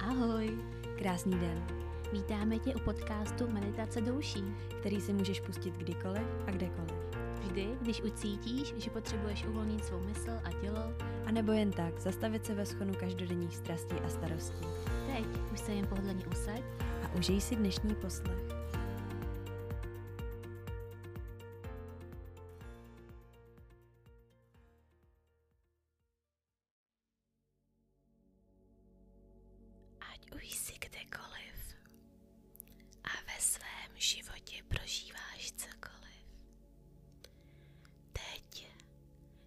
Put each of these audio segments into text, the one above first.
Ahoj, krásný den. Vítáme tě u podcastu Meditace douší, který si můžeš pustit kdykoliv a kdekoliv. Vždy, když ucítíš, že potřebuješ uvolnit svou mysl a tělo, anebo jen tak zastavit se ve schonu každodenních strastí a starostí. Teď už se jen pohodlně usaď a užij si dnešní poslech. Ať už jsi kdekoliv a ve svém životě prožíváš cokoliv, teď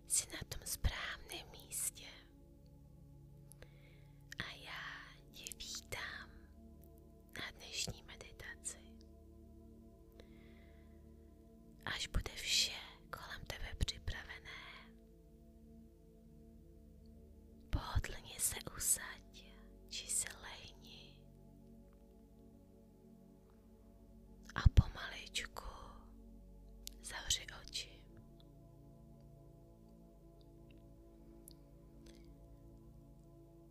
jsi na tom správném místě. A já tě vítám na dnešní meditaci. Až bude vše kolem tebe připravené, pohodlně se usaď či se lehni a pomaličku zavři oči.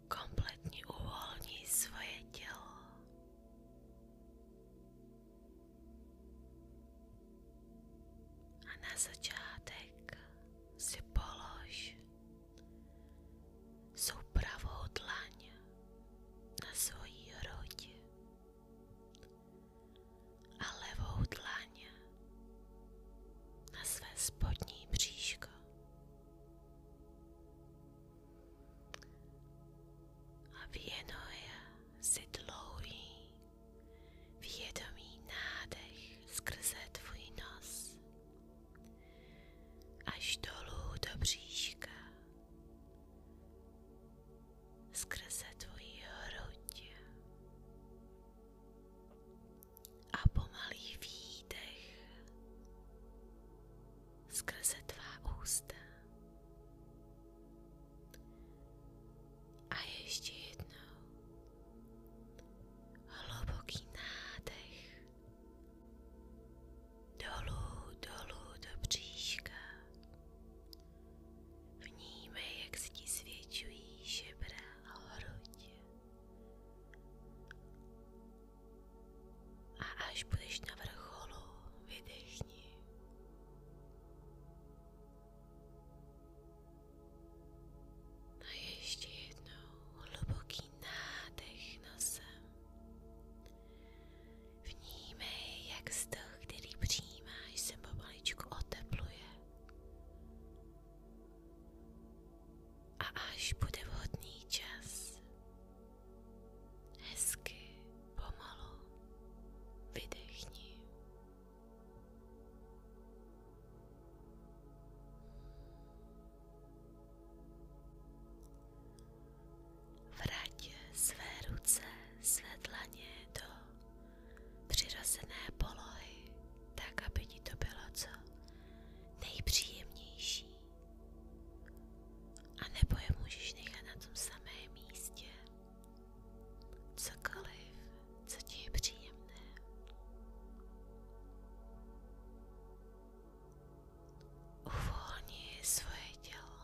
Kompletně uvolni svoje tělo. A na začátek si polož svou pravou dlaň na svoji hroď a levou dlaň na své spodní bříško. A věnuje si dlouhý vědomý nádech skrze tvůj nos až dolů do bříška, skrze tvoji hruď a pomalý výdech skresę Twa usta. A jeszcze jedno. Głęboki nadech. Dolu, dolu do brzyśka. Vnímej, jak zisvědčují žebra o hrudě. A až budeš na vrcholu, vydechni. A ještě jednou hluboký nádech nosem. Vnímej, jak vzduch, který přijímáš, se pomaličku otepluje. A až bude vhodný čas, Hezky, pomalu vydechni. Vrať své ruce, své do přirozené polohy, tak aby to bylo co nejpříjemnější. A nebo je můžeš nechat na tom samém místě. Cokoliv, co ti je příjemné. Uvolni svoje tělo,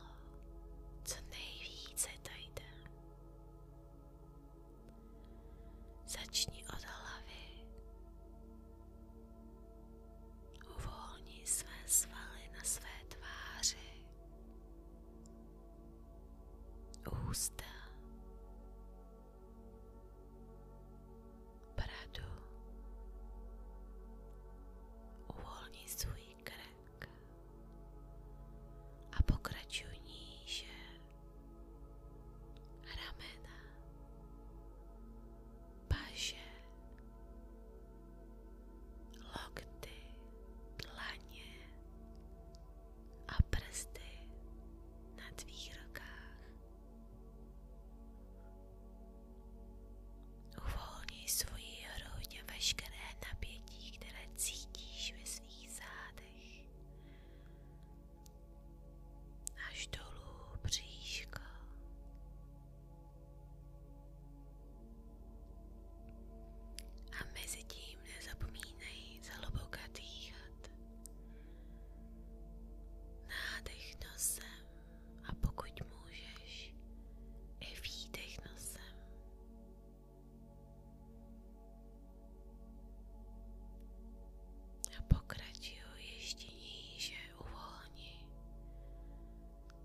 co nejvíce to jde. Začni od hlavy Uvolni své svaly na své tváři, ústa, bradu, uvolni svůj krk a pokračuj níže, ramena, paže, lokty, dlaně a prsty na tvých rukách. Uvolni svoji hruď a veškeré napětí, které cítíš ve svých zádech. Až dolů bříško. A mezi tím nezapomínej zhluboka dýchat. Nádech nosem a pokud můžeš, i výdech nosem. A pokračuj ještě níže uvolni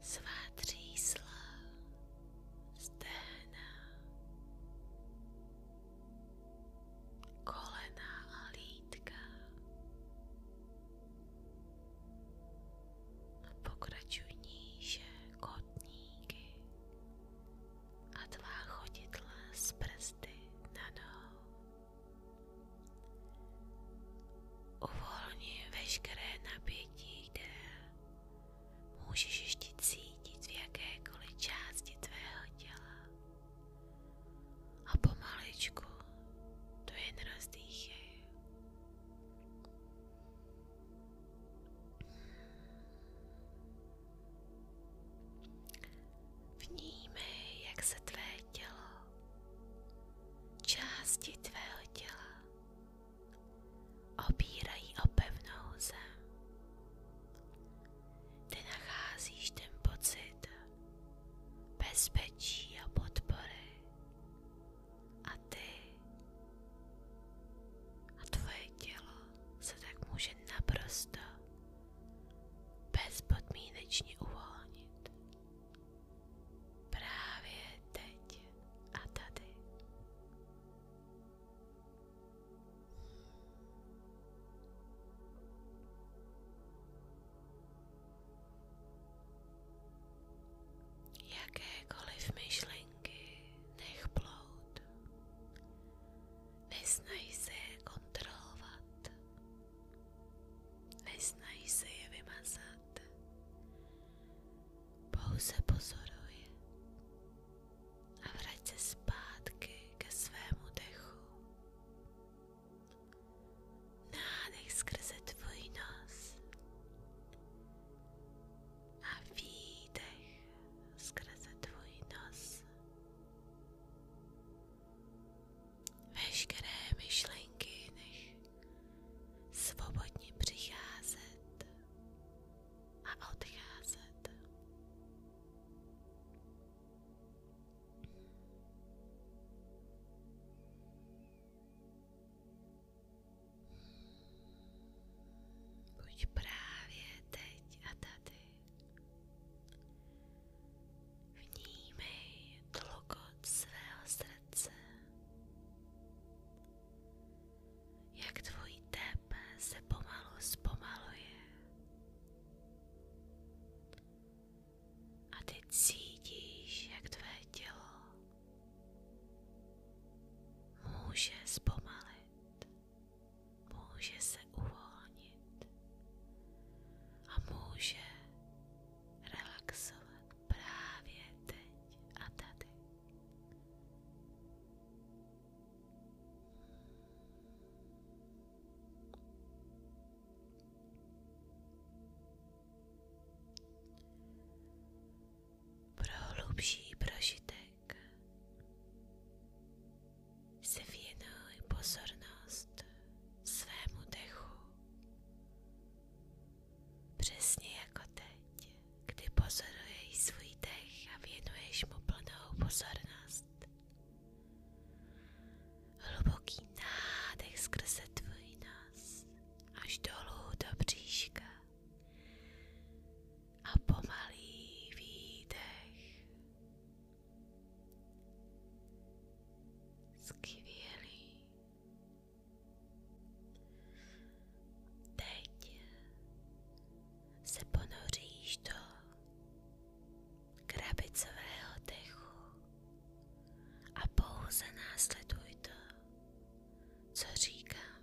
svá třísla, stehna, kolena a lítka. Pokračuj níže kotníky a tvá chodidla z prsty na nohu. Uvolni veškeré napětí, které můžeš ještě cítit v jakékoliv části tvého těla. A pomaličku to jen rozdýchej. Vnímej, jak se tvé tělo, části tvého těla Opírají o pevnou zem. Ty nacházíš ten pocit bezpečí a podpory. A ty a tvoje tělo se tak může naprosto bezpodmínečně uvolnit právě teď a tady. Jakékoliv myšlenky nech plout. Nesnaž se je kontrolovat. Nesnaž se je vymazat pouze a vrať se zpátky ke svému dechu. Nádech skrze tvůj nos a výdech skrze tvůj nos. Veškeré myšlenky nech svobodně přicházet a odcházet. Buď právě teď a tady. Vnímej tlukot svého srdce jak tvůj tep se pomalu zpomaluje. A ty cítíš, jak tvé tělo může zpomalit, může se uvolnit a může relaxovat právě teď a tady. Pro hlubší prožitek se věnuj pozornost svému dechu Přesně jako teď, kdy pozoruješ svůj dech a věnuješ mu plnou pozornost. Hluboký nádech skrze tvůj nos až dolů do bříška a pomalý výdech. Skvělý. Teď se ponoříš do krabicového dechu a pouze následuj to, co říkám.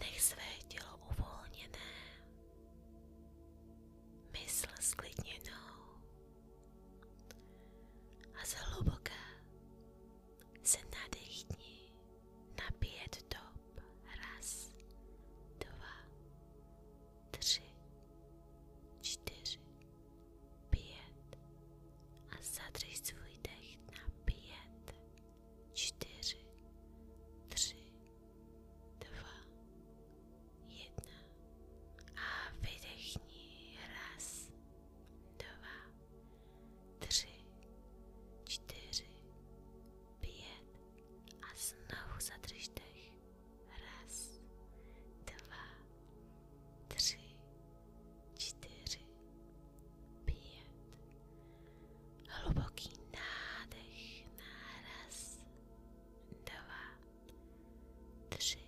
Nech své tělo uvolněné, mysl sklidněnou a zhluboka se nadechni na pět dob. Raz, dva, tři, čtyři, pět a zadřej svůj dech na pět, čtyři, tři, dva, jedna a vydechni raz, dva, tři, čtyři, pět a znovu zadrž dech. Raz, dva, tři, čtyři, pět. Hluboký nádech na raz, dva, tři,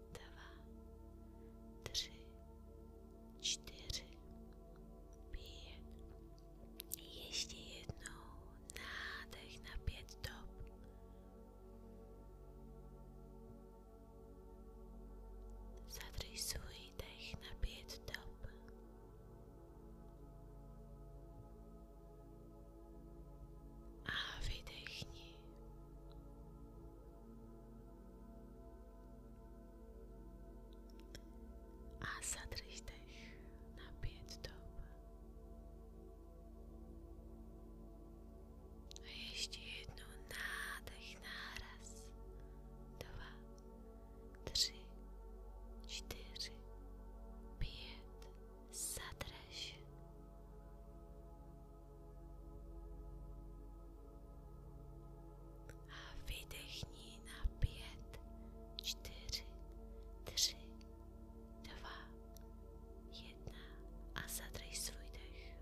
dva, tři, čtyři, pět. Ještě jednou nádech na pět dob. Zadrž svůj dech na pět dob. A vydechni. a zadryś dech na pięć dob. Jeśli jedną nadech naraz, dwa, trzy, cztery, pięć, zadrę A vydechni na pět, čtyři, tři, dva, jedna a zadrž svůj dech.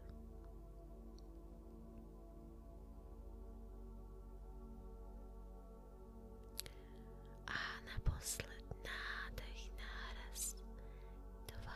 A naposled nádech náraz. Dva,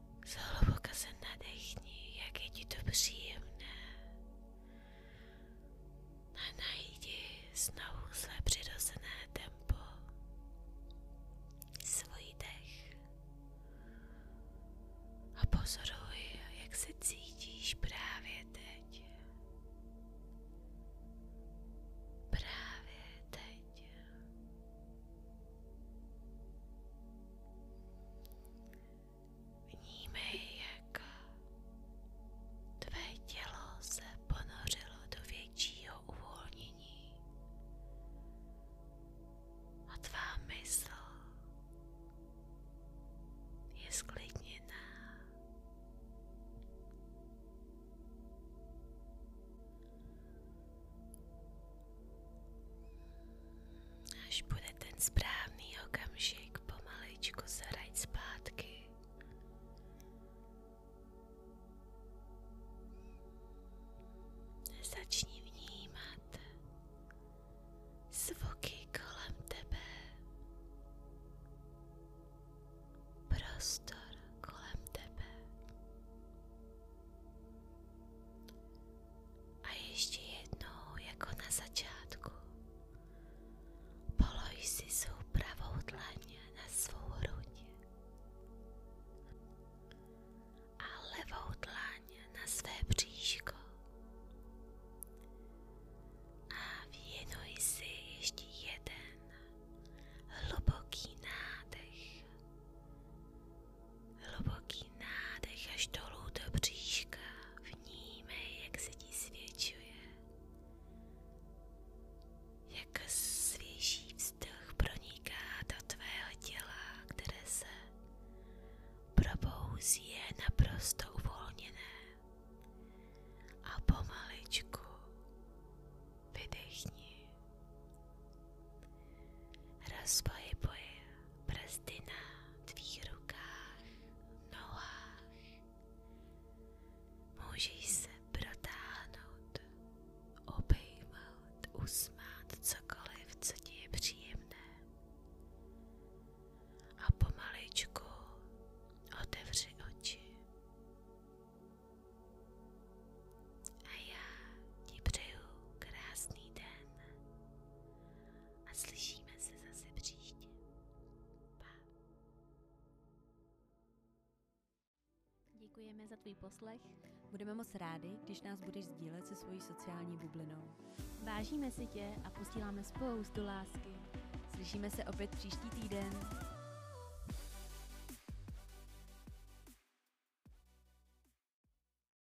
Zhluboka se nadechni, jak je ti to příjemné. A najdi znovu své přirozené tempo, svůj dech a pozoruj, jak se cítíš právě teď. Právě teď. Vnímej, jak tvé tělo se ponořilo do většího uvolnění a tvá mysl je sklidněná. Až bude ten správný okamžik, pomaličku zaraď zpátky. Začni vnímat zvuky kolem tebe, prostor kolem tebe. A ještě jednou jako na začátku. Polož si svou pravou dlaň na svou hruď a levou dlaň na své bříško. A věnuj si ještě jeden hluboký nádech Hluboký nádech až dolů do bříška. Vnímej, jak se ti svědčuje. Jak svěží vzduch proniká do tvého těla, které se probouzí je naprosto uvolněné. A pomaličku vydechni. Rozpohybuj prsty na tvých rukách, nohách. Můžeš se protáhnout, obejmout, usmát cokoliv, co ti je příjemné. A pomaličku otevři oči. A já ti přeju krásný den a slyšíme se zase příště. Děkujeme za tvůj poslech. Budeme moc rádi, když nás budeš sdílet se svojí sociální bublinou. Vážíme si tě a posíláme spoustu lásky. Slyšíme se opět příští týden.